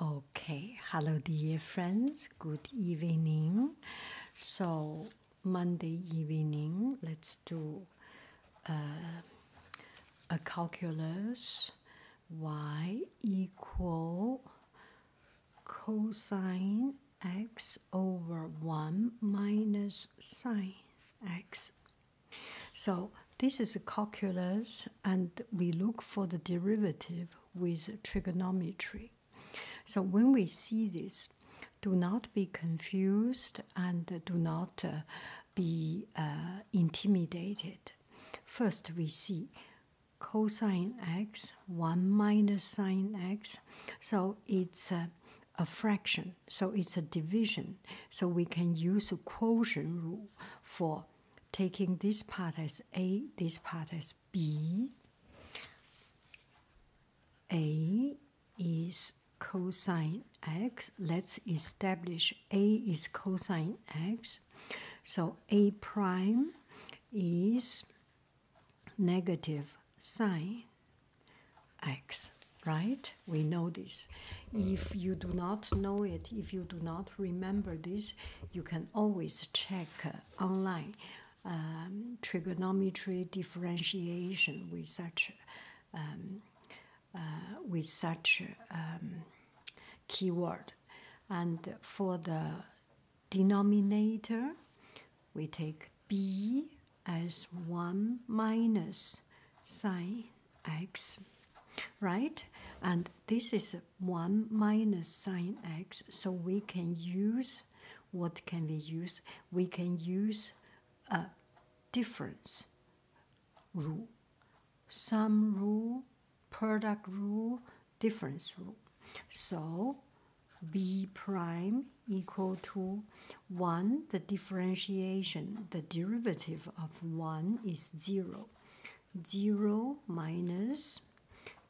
Okay, hello, dear friends. Good evening. So, Monday evening, let's do uh, a calculus y equal cosine x over 1 minus sine x. So, this is calculus, and we look for the derivative with trigonometry. So when we see this, do not be confused and do not uh, be uh, intimidated. First, we see cosine x, 1 minus sine x. So it's a fraction, so it's a division. So we can use a quotient rule for taking this part as A, this part as B. A is cosine x. Let's establish A is cosine x. So A prime is negative sine x, right? We know this. If you do not know it, if you do not remember this, you can always check uh, online um, trigonometry differentiation with such um, uh, with such um, keyword. And for the denominator, we take b as 1 minus sine x, right? And this is 1 minus sine x, so we can use what can we use? We can use a difference rule, sum rule, product rule, difference rule. So b prime equal to 1, the differentiation, the derivative of 1 is 0. 0 minus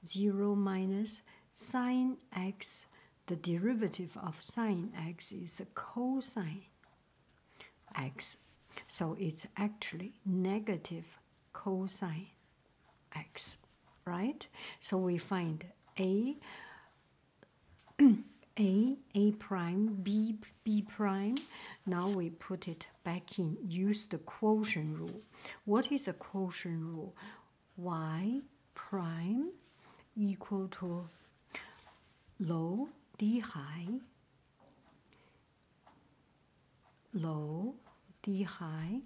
0 minus sine x. The derivative of sine x is cosine x. So it's actually negative cosine x, right? So we find a, a, a prime, b, b prime. Now we put it back in. Use the quotient rule. What is the quotient rule? y prime equal to low d high low d high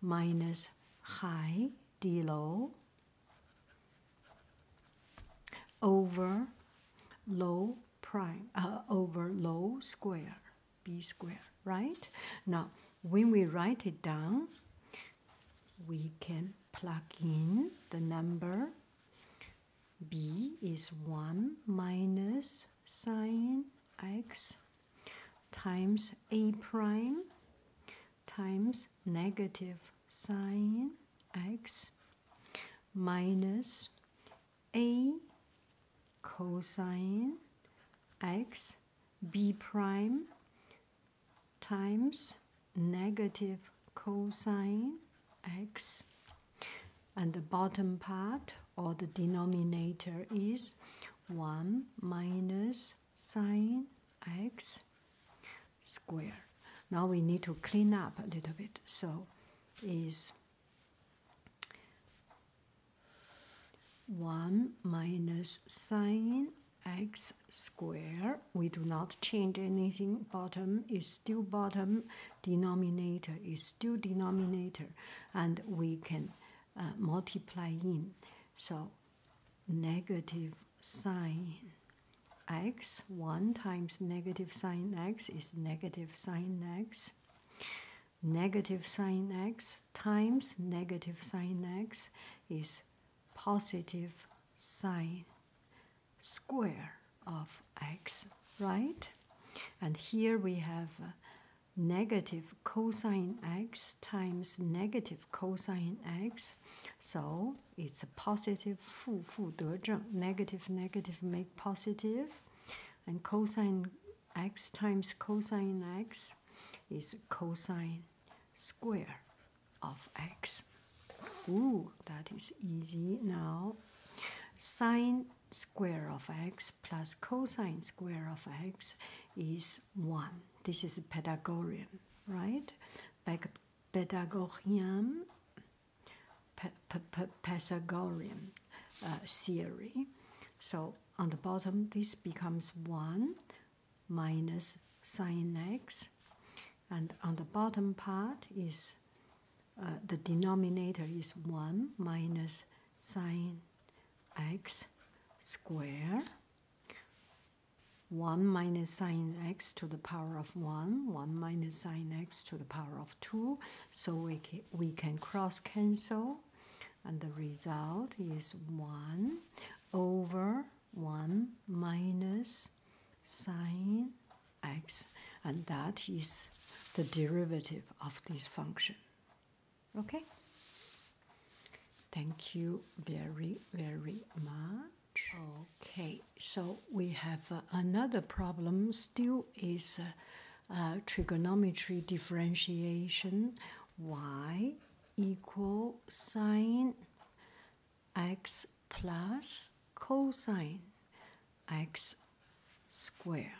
minus high d low over low prime uh, over low square b square right now when we write it down we can plug in the number b is 1 minus sine x times a prime times negative sine x minus a cosine x b prime times negative cosine x and the bottom part or the denominator is 1 minus sine x square. Now we need to clean up a little bit. So is 1 minus sine x square. We do not change anything. Bottom is still bottom. Denominator is still denominator. And we can uh, multiply in. So negative sine x, 1 times negative sine x is negative sine x. Negative sine x times negative sine x is positive sine square of x, right? And here we have negative cosine x times negative cosine x. So it's a positive 负负得正, negative negative make positive, positive. and cosine x times cosine x is cosine square of x. Ooh, that is easy now. Sine square of x plus cosine square of x is 1. This is Pythagorean, right? Pythagorean Pythagorean uh, theory. So on the bottom, this becomes 1 minus sine x. And on the bottom part is uh, the denominator is 1 minus sine x square 1 minus sine x to the power of 1, 1 minus sine x to the power of 2. So we, we can cross cancel, and the result is 1 over 1 minus sine x, and that is the derivative of this function. Okay? Thank you very, very much. Okay, so we have uh, another problem still is uh, uh, trigonometry differentiation y equal sine x plus cosine x square.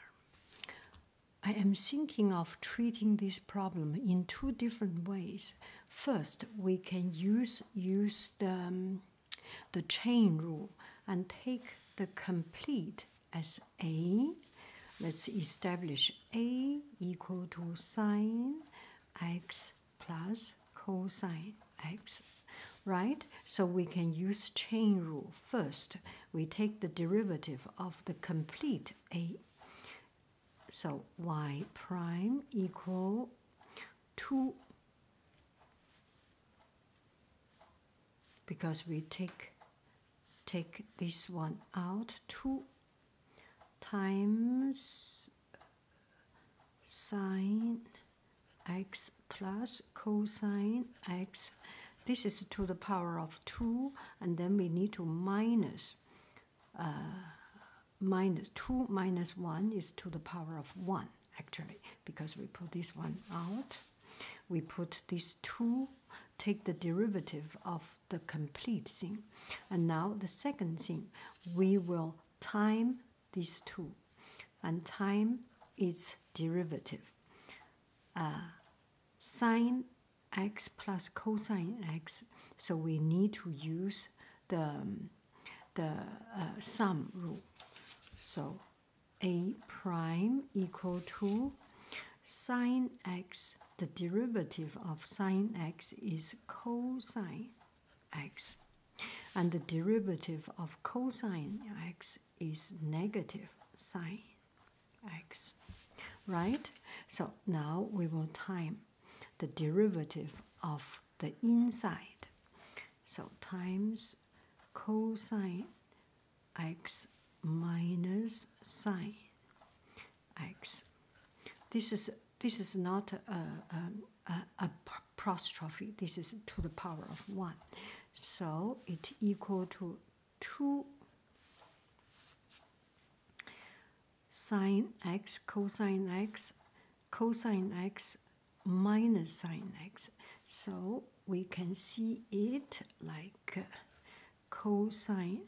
I am thinking of treating this problem in two different ways. First, we can use use the um, the chain rule and take the complete as A. Let's establish A equal to sine x plus cosine x right? So we can use chain rule. First, we take the derivative of the complete A. So y prime equal two because we take take this one out two times sine x plus cosine x this is to the power of 2 and then we need to minus uh, 2 minus 1 is to the power of 1 actually because we put this one out we put this two take the derivative of the complete thing and now the second thing we will time these two and time its derivative uh, sine x plus cosine x so we need to use the um, the uh, sum rule. So a prime equal to sine x, the derivative of sine x is cosine x. And the derivative of cosine x is negative sine x. Right? So now we will time the derivative of the inside. So times cosine x minus sine x. This is this is not a, a, apostrophe. This is to the power of one. So it equal to two sine x, cosine x, cosine x minus sine x. So we can see it like cosine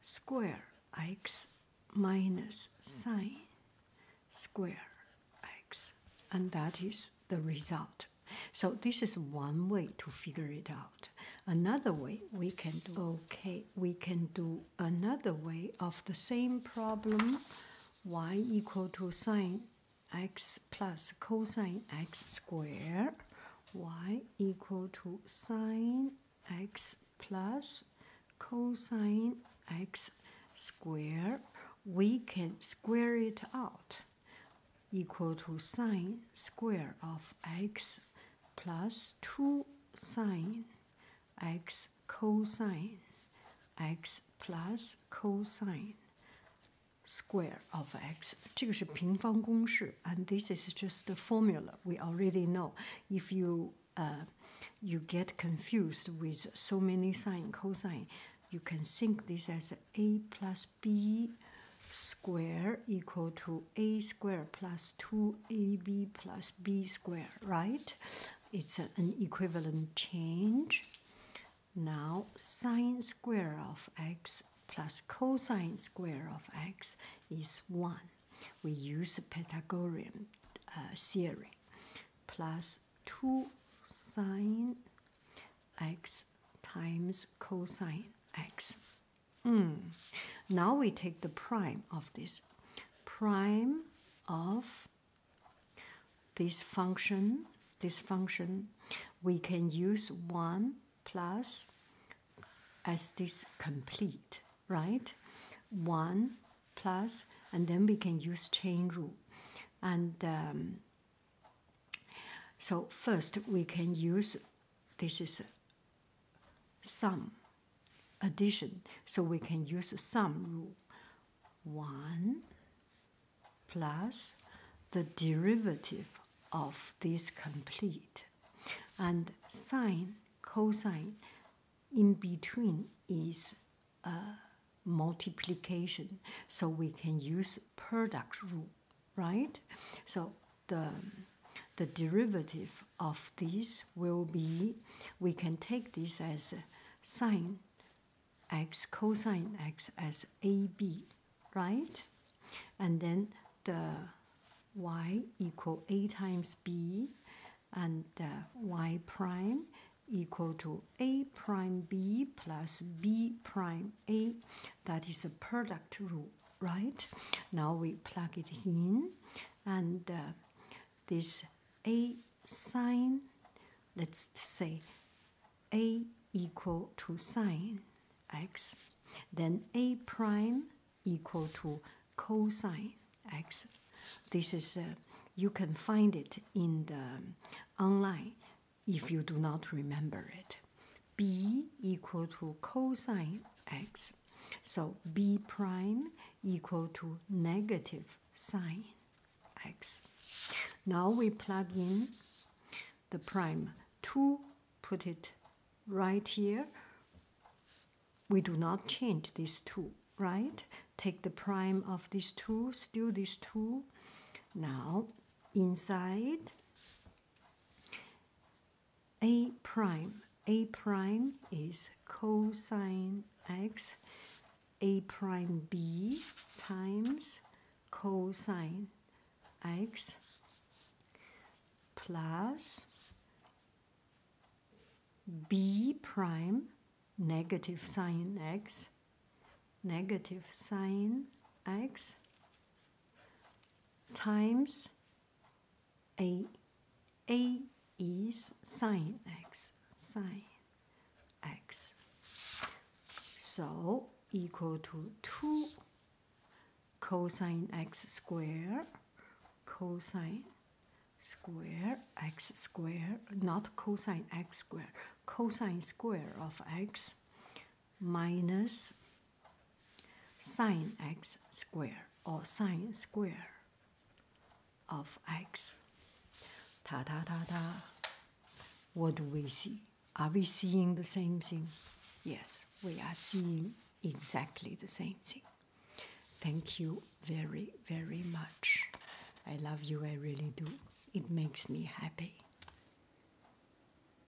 square x minus sine square x. And that is the result. So this is one way to figure it out. Another way we can do Okay, we can do another way of the same problem y equal to sine x plus cosine x squared, y equal to sine x plus cosine x squared. We can square it out equal to sine square of x plus 2 sine x cosine x plus cosine square of x. and this is just a formula we already know. If you uh, you get confused with so many sine cosine, you can think this as a plus b square equal to a square plus 2 ab plus b squared, right? It's an equivalent change. Now, sine square of x plus cosine square of x is 1. We use Pythagorean uh, theory. Plus 2 sine x times cosine x. Mm. Now we take the prime of this. Prime of this function, this function, we can use 1 plus as this complete, right? 1 plus, and then we can use chain rule. And um, so first we can use this is sum addition. So we can use sum rule. 1 plus the derivative of this complete. And sine, cosine, in between is multiplication. So we can use product rule right? So the the derivative of this will be we can take this as sine x cosine x as AB, right? And then the y equal a times b and y prime equal to a prime b plus b prime a. That is a product rule right? Now we plug it in, and uh, this a sine, let's say a equal to sine x, then a prime equal to cosine x. This is uh, you can find it in the online if you do not remember it b equal to cosine x. So b prime equal to negative sine x. Now we plug in the prime 2, put it right here. We do not change this 2, right? Take the prime of this 2, still this 2. Now inside a prime. a prime is cosine x a prime b times cosine x plus b prime negative sine x negative sine x times a a is sine x sine x so equal to 2 cosine x square cosine square x square not cosine x square cosine square of x minus sine x square or sine square of x. Ta ta ta ta. What do we see? Are we seeing the same thing? Yes, we are seeing exactly the same thing. Thank you very, very much. I love you, I really do. It makes me happy.